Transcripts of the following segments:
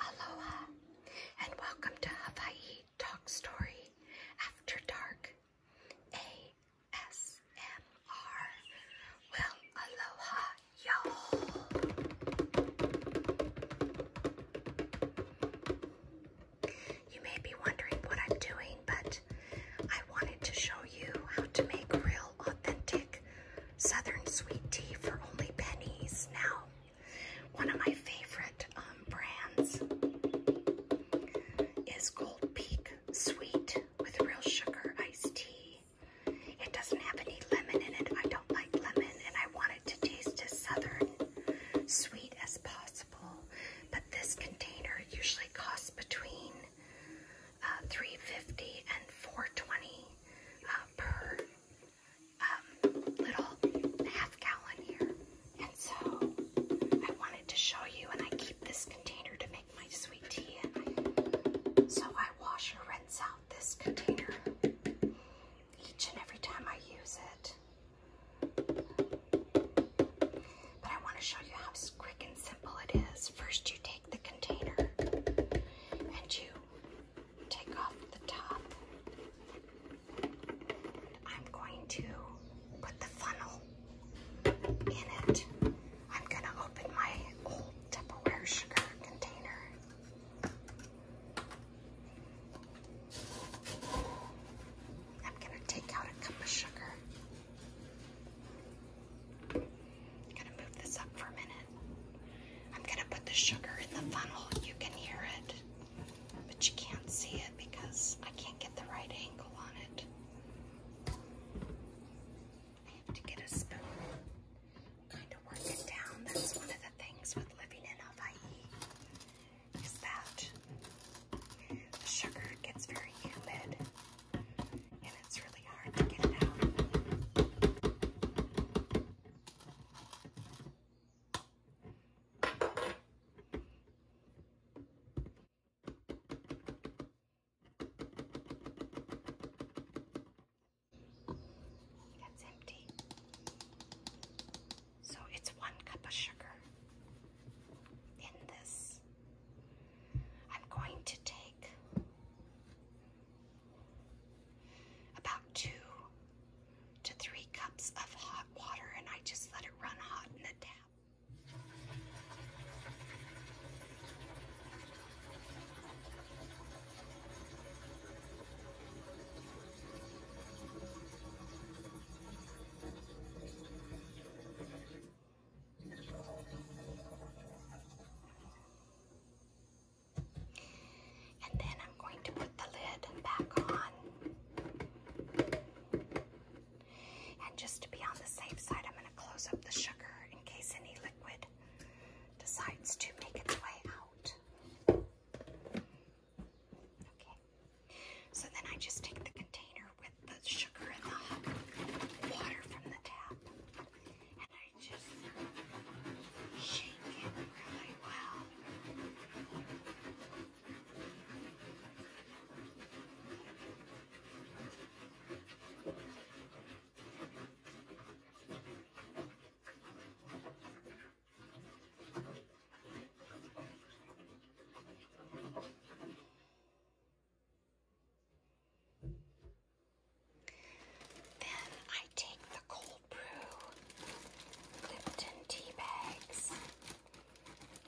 Aloha, and welcome to Hawaii Talk Story After Dark ASMR. Well, aloha, y'all. You may be wondering what I'm doing, but I wanted to show you how to make real, authentic Southern sweet tea for only pennies now. One of my favorite um, brands is Gold Peak Sweet with real sugar iced tea. It doesn't have any lemon in it. I don't like lemon, and I want it to taste as southern sweet as possible. But this container usually costs between uh, three fifty and four twenty uh, per um, little half gallon here. And so I wanted to show you, and I keep this container to make my sweet tea in. So I wash and rinse out this container each and every time I use it. But I want to show you how quick and simple it is. First, you take the container and you take off the top. I'm going to put the funnel in it. I'm going to open my old Tupperware sugar container. I'm going to take out a cup of sugar. I'm gonna move this up for a minute. I'm gonna put the sugar in the funnel. You can hear it, but you can't see it because I can't get the right angle on it. I have to get a spoon. Kind of work it down. That's one of the things with living in Hawaii. Is that the sugar gets very humid and it's really hard to get it out. That's empty. So it's one cup of sugar in this I'm going to take about two to three cups of hot water and I just let it run hot in the tap. And then I'm going to put the lid back on. And just to be on the safe side, I'm going to close up the sugar in case any liquid decides to make its way out. Okay. So then I just take the container with the sugar and the water from the tap and I just shake it really well. Then I take the cold brew, Lipton tea bags,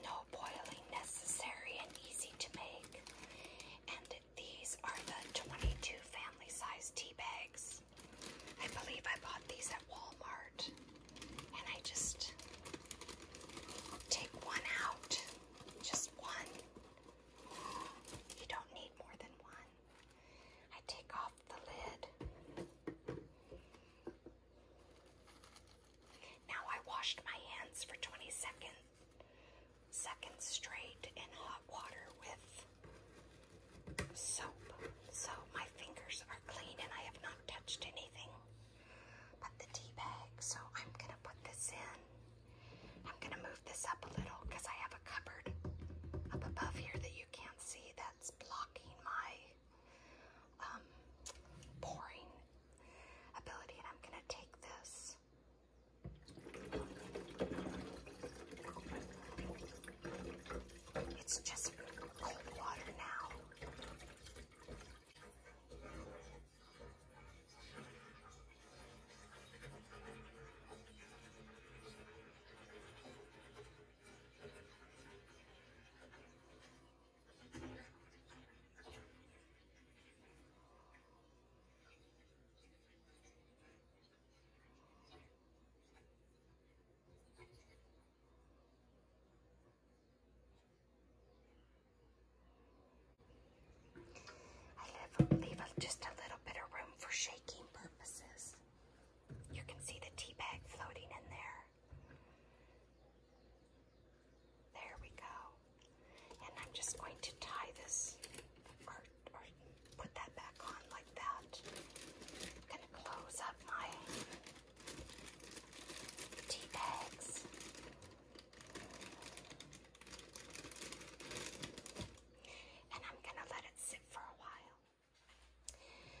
no boiling necessary and easy to make. And these are the 22 family size tea bags. I believe I bought these at Walmart and I just take one out, just one. You don't need more than one. I take off the lid. Now I washed my hands for 20 seconds seconds straight in hot water with soap. So my fingers are clean and I have not touched anything but the tea bag. So I'm going to put this in. I'm going to move this up a little because I have a cupboard up above here that you can't see that's blocking my um, pouring ability. And I'm going to take this. It's just cold water now leave, just a little bit of room for shaking purposes. You can see the teabag floating in there. There we go. And I'm just going to tie this, or put that back on like that. I'm gonna close up my tea bags. And I'm gonna let it sit for a while.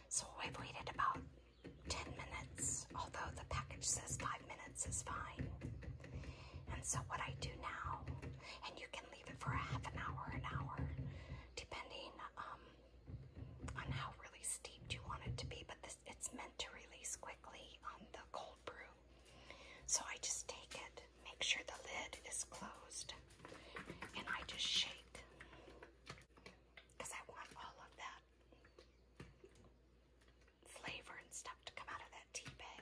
So I've waited about 10 minutes, although the package says 5 minutes is fine. And so what I do now, and you can leave it for a half an hour, an hour, depending um, on how really steeped you want it to be. But this it's meant to release quickly on um, the cold brew. So I just take it, make sure the lid is closed, and I just shake because I want all of that flavor and stuff to come out of that tea bag.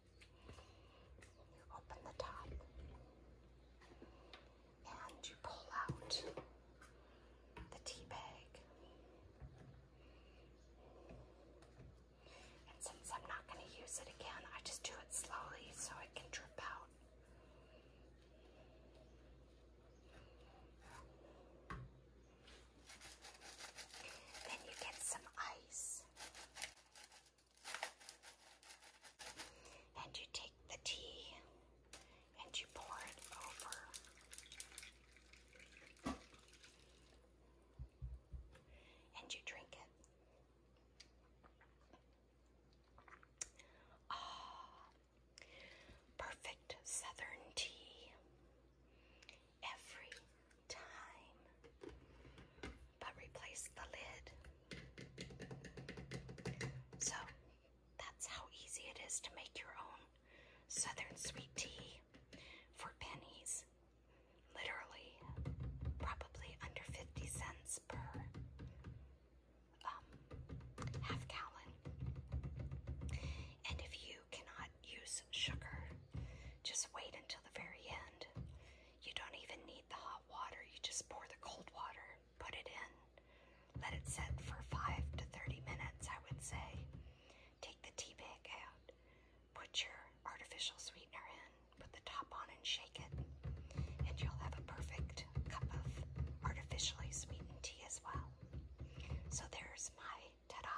You open the top and you pull out the tea bag. And since I'm not going to use it again, I just do it slowly so it can drip out. Then you get some ice. And you take the tea and you pour it over. And you drink it. Ah, perfect southern tea every time. But replace the lid. So that's how easy it is to make your own southern sweet tea for pennies. Literally, probably under 50 cents per um, half gallon. And if you cannot use sugar. Just wait until the very end. You don't even need the hot water, you just pour the cold water, put it in, let it set for 5 to 30 minutes, I would say. Take the tea bag out, put your artificial sweetener in, put the top on, and shake it, and you'll have a perfect cup of artificially sweetened tea as well. So there's my ta-da.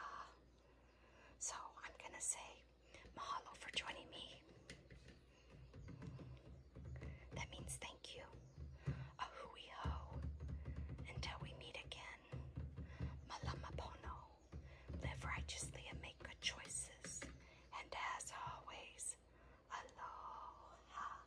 So I'm gonna say mahalo for joining me. That means thank you. A hui ho. Until we meet again. Malamapono. Live righteously and make good choices. And as always, aloha.